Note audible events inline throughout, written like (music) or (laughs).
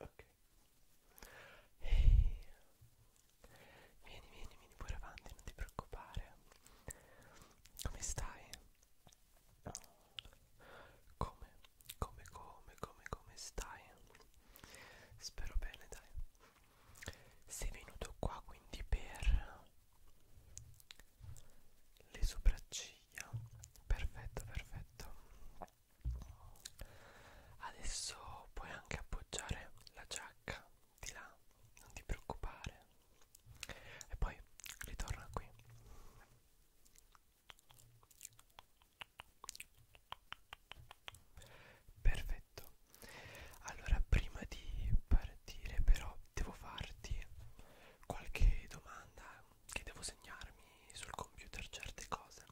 Ok. Ehi. Vieni, vieni, vieni pure avanti, non ti preoccupare. Come stai? Come, come, come, come, come stai? Spero bene, dai. Sei venuto qua quindi per le sopracciglia perfetto perfetto adesso puoi anche appoggiare la giacca di là non ti preoccupare e poi ritorna qui perfetto allora prima di partire però devo farti qualche domanda che devo segnarmi sul computer certe cose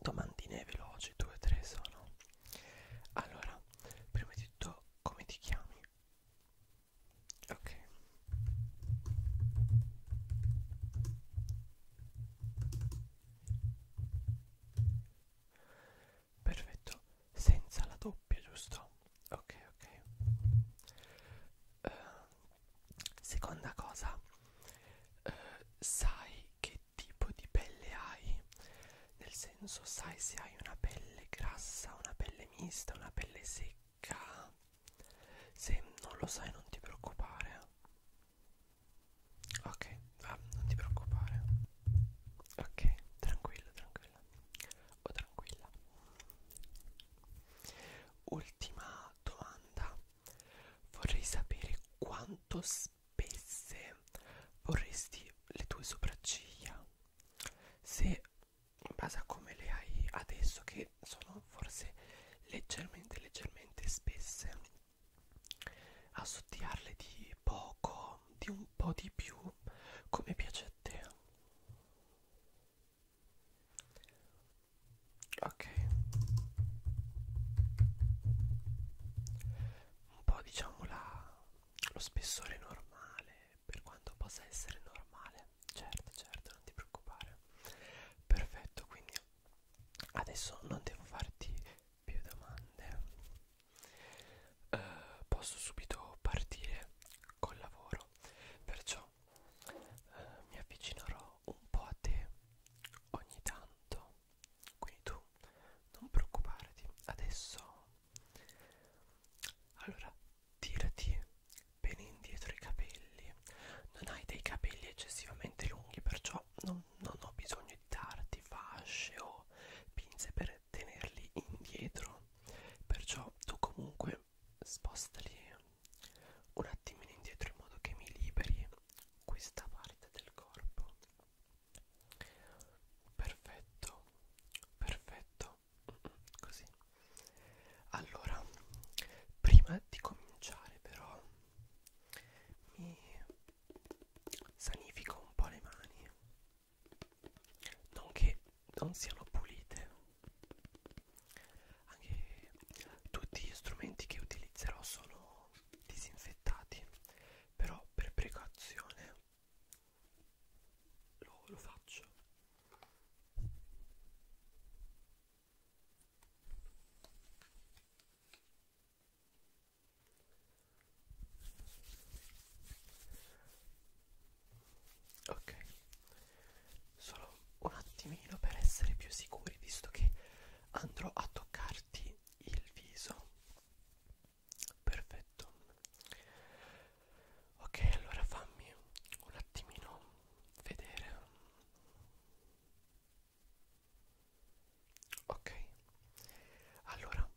domandine veloci due o tre sono allora prima di tutto come ti chiami ok perfetto senza la doppia giusto ok ok uh, seconda cosa uh, sai che tipo di pelle hai nel senso sai se hai una pelle grassa una pelle mista una pelle secca se non lo sai non ti preoccupare ok ah, non ti preoccupare ok tranquillo tranquillo o oh, tranquilla ultima domanda vorrei sapere quanto spesse vorresti le tue sopracciglia se in base a come le hai adesso che sono forse leggermente leggermente spesse assottiarle di poco di un po' di più come piace a te ok un po' diciamo la, lo spessore normale per quanto possa essere normale certo certo non ti preoccupare perfetto quindi adesso non devo farti più domande eh, posso subito partire col lavoro perciò eh, mi avvicinerò un po' a te ogni tanto quindi tu non preoccuparti adesso allora tirati bene indietro i capelli non hai dei capelli eccessivamente lunghi perciò non, non ho bisogno di darti fasce o pinze per tenerli indietro perciò tu comunque spostali un attimino indietro in modo che mi liberi questa parte del corpo perfetto perfetto così allora prima di cominciare però mi sanifico un po' le mani non che non siano pulite anche tutti gli strumenti che utilizzerò sono disinfettati però per precauzione lo, lo faccio ok solo un attimino per essere più sicuri visto che andrò a toccarti il viso perfetto ok allora fammi un attimino vedere ok allora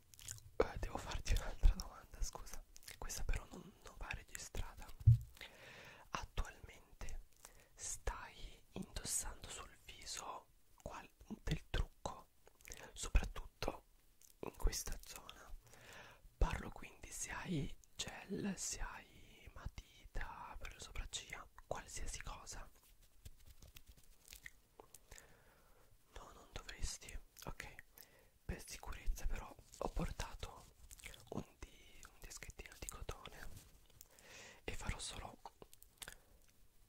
eh, devo farti un'altra domanda, scusa. Questa però non, non va registrata. Attualmente stai indossando sul viso qual del trucco, soprattutto in questa zona. Parlo quindi se hai gel, se hai matita per le sopracciglia, qualsiasi cosa. No, non dovresti. Ok, per sicurezza però ho portato un, di, un dischettino di cotone e farò solo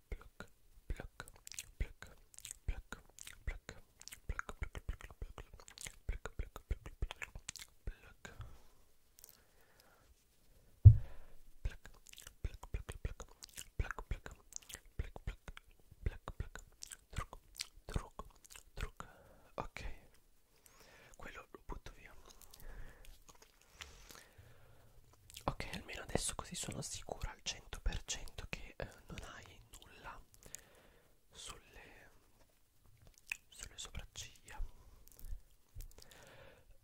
pluck, pluck, pluck, pluck, pluck, pluck, pluck, pluck, pluck, pluck, pluck, pluck. Pluck, pluck, pluck, pluck, pluck, pluck, pluck, pluck, Black, black, trucco, trucco, trucco. Ok, quello lo butto via. Ok, almeno adesso così sono sicura al 100% che eh, non hai nulla sulle, sulle sopracciglia.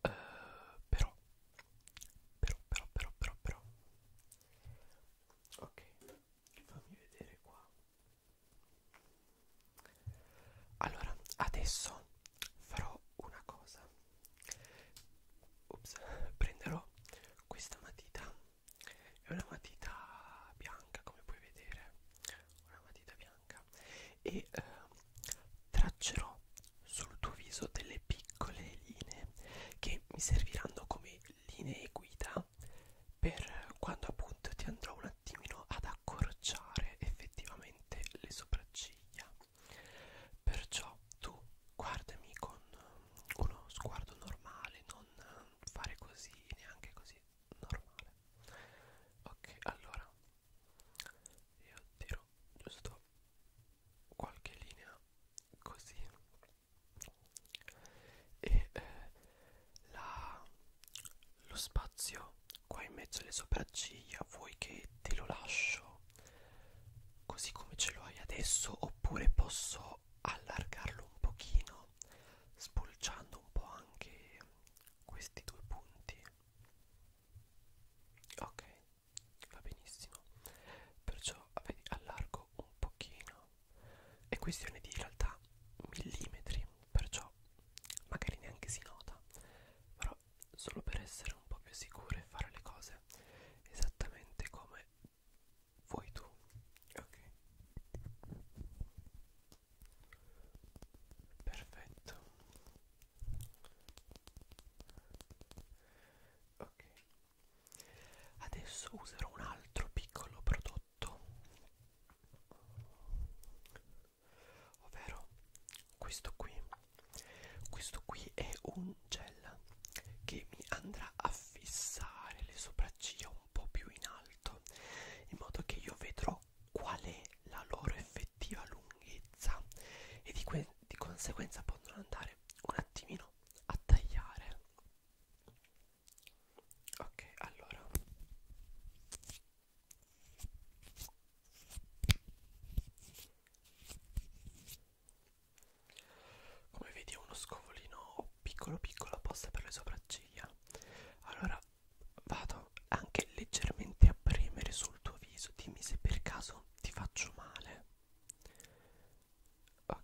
Uh, però, però, però, però, però, però ok fammi vedere qua allora adesso farò una cosa Ups, (laughs) prenderò questa matita è una matita bianca come puoi vedere una matita bianca e eh, traccerò sul tuo viso delle piccole linee che mi serviranno come linee guida per quando appunto ti andrò un attimino ad accorciare effettivamente le sopracciglia perciò tu guardami con uno sguardo normale non fare così neanche così normale ok allora io tiro giusto qualche linea così e eh, la, lo spazio qua in mezzo alle sopracciglia vuoi che te lo lascio così come ce lo hai adesso oppure posso allargarlo un pochino spulciando un po' anche questi due punti ok va benissimo perciò vedi, allargo un pochino è questione di in realtà millimetri perciò magari neanche si nota però solo per essere un po' più sicure fare le cose esattamente come vuoi tu ok perfetto ok Adesso userò un altro piccolo prodotto, ovvero questo qui. Questo qui è un gel che mi andrà a fissare le sopracciglia un po' più in alto, in modo che io vedrò qual è la loro effettiva lunghezza e di, di conseguenza potrò andare un attimino a tagliare ok allora come vedi ho uno scovolino piccolo piccolo apposta per le sopracciglia allora vado anche leggermente a premere sul tuo viso dimmi se per caso ti faccio male ok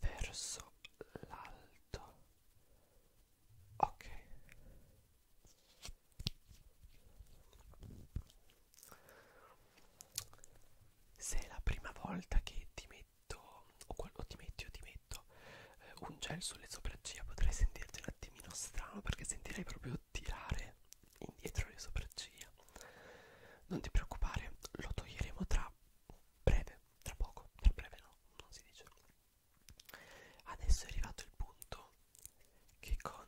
verso l'alto ok se è la prima volta che ti metto o, o ti metti o ti metto eh, un gel sulle sopracciglia potrei sentirti un attimino strano perché sentirei proprio tirare indietro le sopracciglia non ti preoccupare lo toglieremo tra breve tra poco, tra breve no, non si dice. Adesso è arrivato il punto che con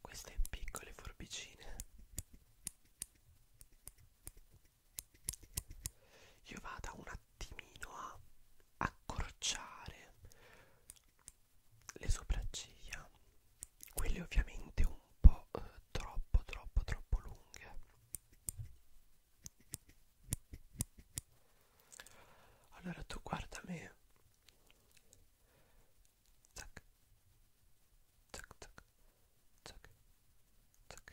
queste piccole forbicine io vado un attimino a accorciare le sopracciglia, quelle ovviamente un po' eh, troppo troppo troppo lunghe allora tu guarda me. Tac. Tac tac. Tac. Tac. Tac.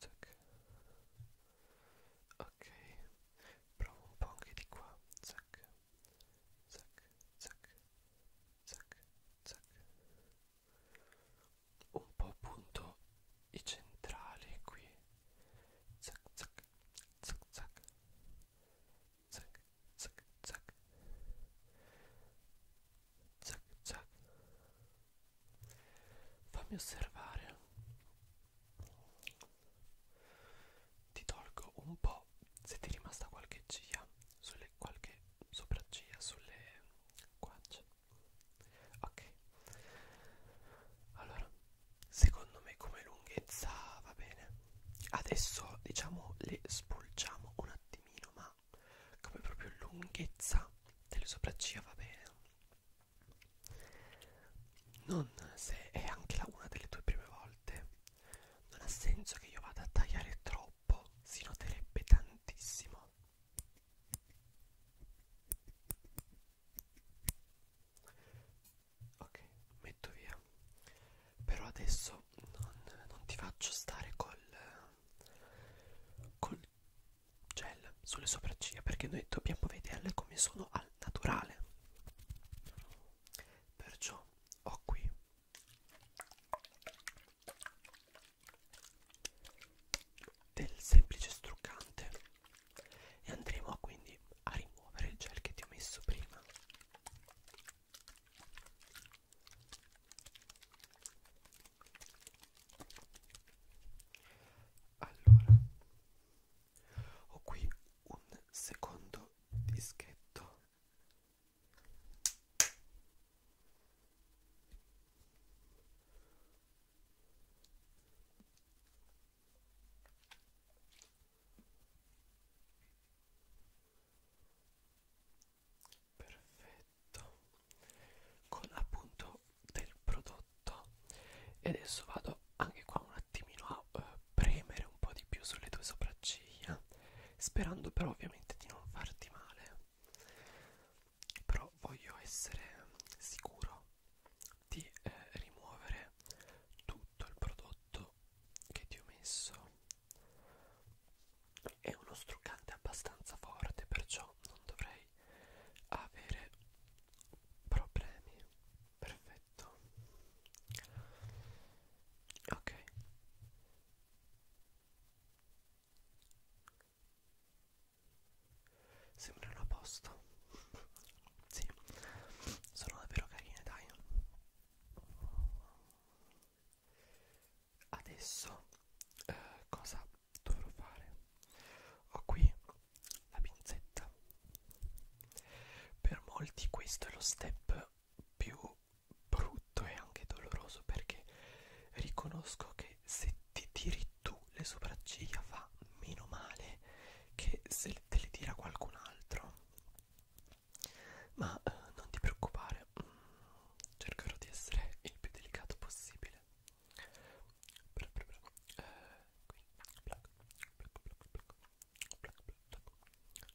Tac. Ok. Provo un po' anche di qua. Zac. Zac. Zac. Zac. Zac un po' appunto i centrali qui zac zac zac zac zac zac zac zac zac fammi osservare ti tolgo un po' se ti è rimasta qualche chia sulle qualche sopracciglia, sulle guance. Ok, allora secondo me come lunghezza va bene. Adesso diciamo le spulciamo un attimino, ma come proprio lunghezza delle sopracciglia va bene. Non se è anche la una delle tue prime volte, non ha senso che io vada a tagliare troppo troppo si noterebbe tantissimo ok metto via però adesso non, non ti faccio stare col col gel sulle sopracciglia perché noi dobbiamo vederle come sono al naturale perciò ho qui del semplice struccante e andremo quindi a rimuovere il gel che ti ho messo prima allora ho qui un secondo dischetto perfetto con appunto del prodotto e adesso vado anche qua un attimino a eh, premere un po' di più sulle tue sopracciglia sperando però ovviamente di non farti male però voglio essere sicuro di eh, rimuovere tutto il prodotto che ti ho messo è uno struccante abbastanza forte perciò non dovrei avere problemi perfetto ok Sembrano a posto. (laughs) sì, sono davvero carine, dai. Adesso eh, cosa dovrò fare? Ho qui la pinzetta. Per molti questo è lo step più brutto e anche doloroso perché riconosco che se ti tiri tu le sopracciglia fa meno male che se te le tira qualcun altro ma eh, non ti preoccupare mm, cercherò di essere il più delicato possibile bra, bra, bra. Eh, qui. Black. Black, black, black. Black, black, black.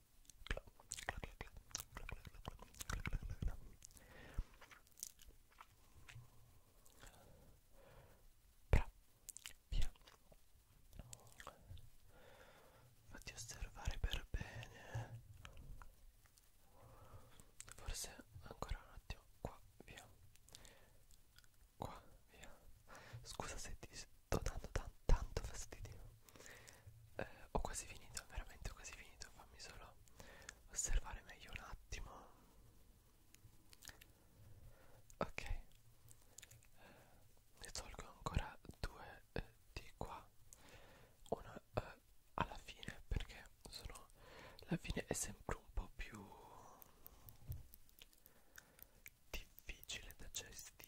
Però, via. Fatti osservare per bene. Forse ancora un attimo. Qua, via. Qua, via. Scusa se ti tanto tanto tanto fastidio eh, ho quasi finito veramente ho quasi finito fammi solo osservare meglio un attimo ok eh, ne tolgo ancora due eh, di qua una eh, alla fine perché sono la fine è sempre un po' più difficile da gestire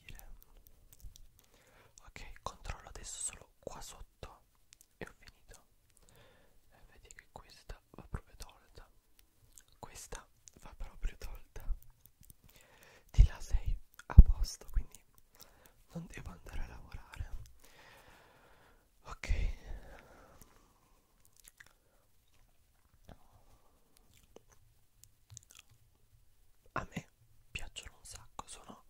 ok controllo adesso solo qua sotto e ho finito e eh, vedi che questa va proprio tolta questa va proprio tolta di là sei a posto quindi non devo andare a lavorare ok a me piacciono un sacco sono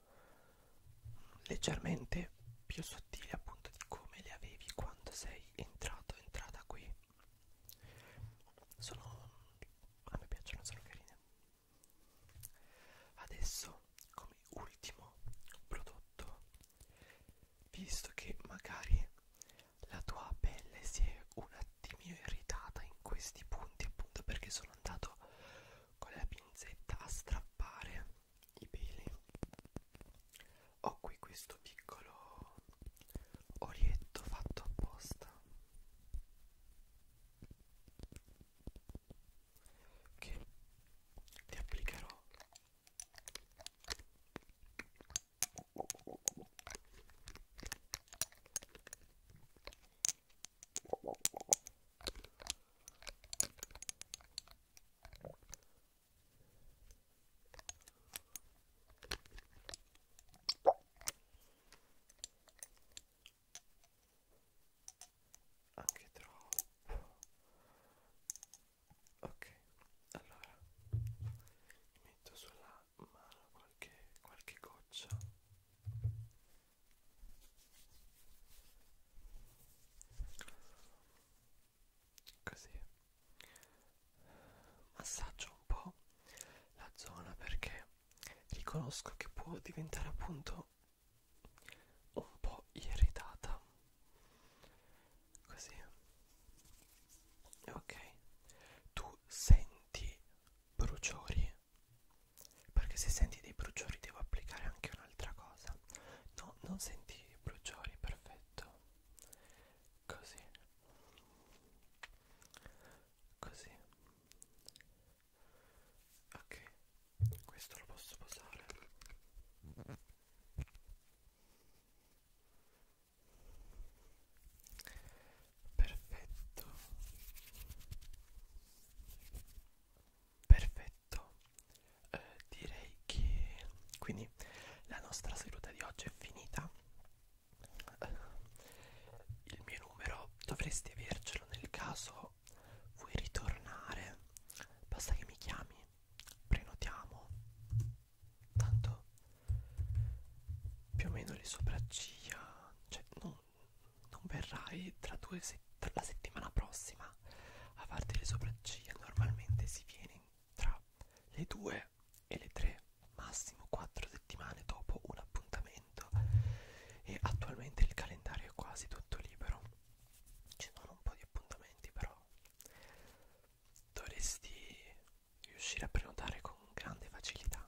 leggermente più sottili appunto di come le avevi quando sei entrato entrata qui sono a me piacciono sono carine adesso come ultimo prodotto visto che magari la tua pelle si è un attimino irritata in questi punti appunto perché sono andato con la pinzetta a strappare i peli ho qui questo piccolo orietto fatto apposta che ti applicherò anche troppo ok allora metto sulla mano qualche, qualche goccia così massaggio un po' la zona perché riconosco che può diventare appunto un po' irritata così ok tu senti bruciori perché se senti dei bruciori devo applicare anche un'altra cosa. No, non senti i bruciori, perfetto. Così. Così. Ok, questo lo posso posare perfetto perfetto eh, direi che quindi la nostra seduta di oggi è finita eh, il mio numero dovresti avercelo nel caso vuoi ritornare basta che mi chiami prenotiamo tanto più o meno le sopracciglia cioè non non verrai tra due se tra la settimana prossima a farti le sopracciglia normalmente si viene tra le 2 e le 3 massimo 4 settimane dopo un appuntamento e attualmente il calendario è quasi tutto libero ci sono un po' di appuntamenti però dovresti riuscire a prenotare con grande facilità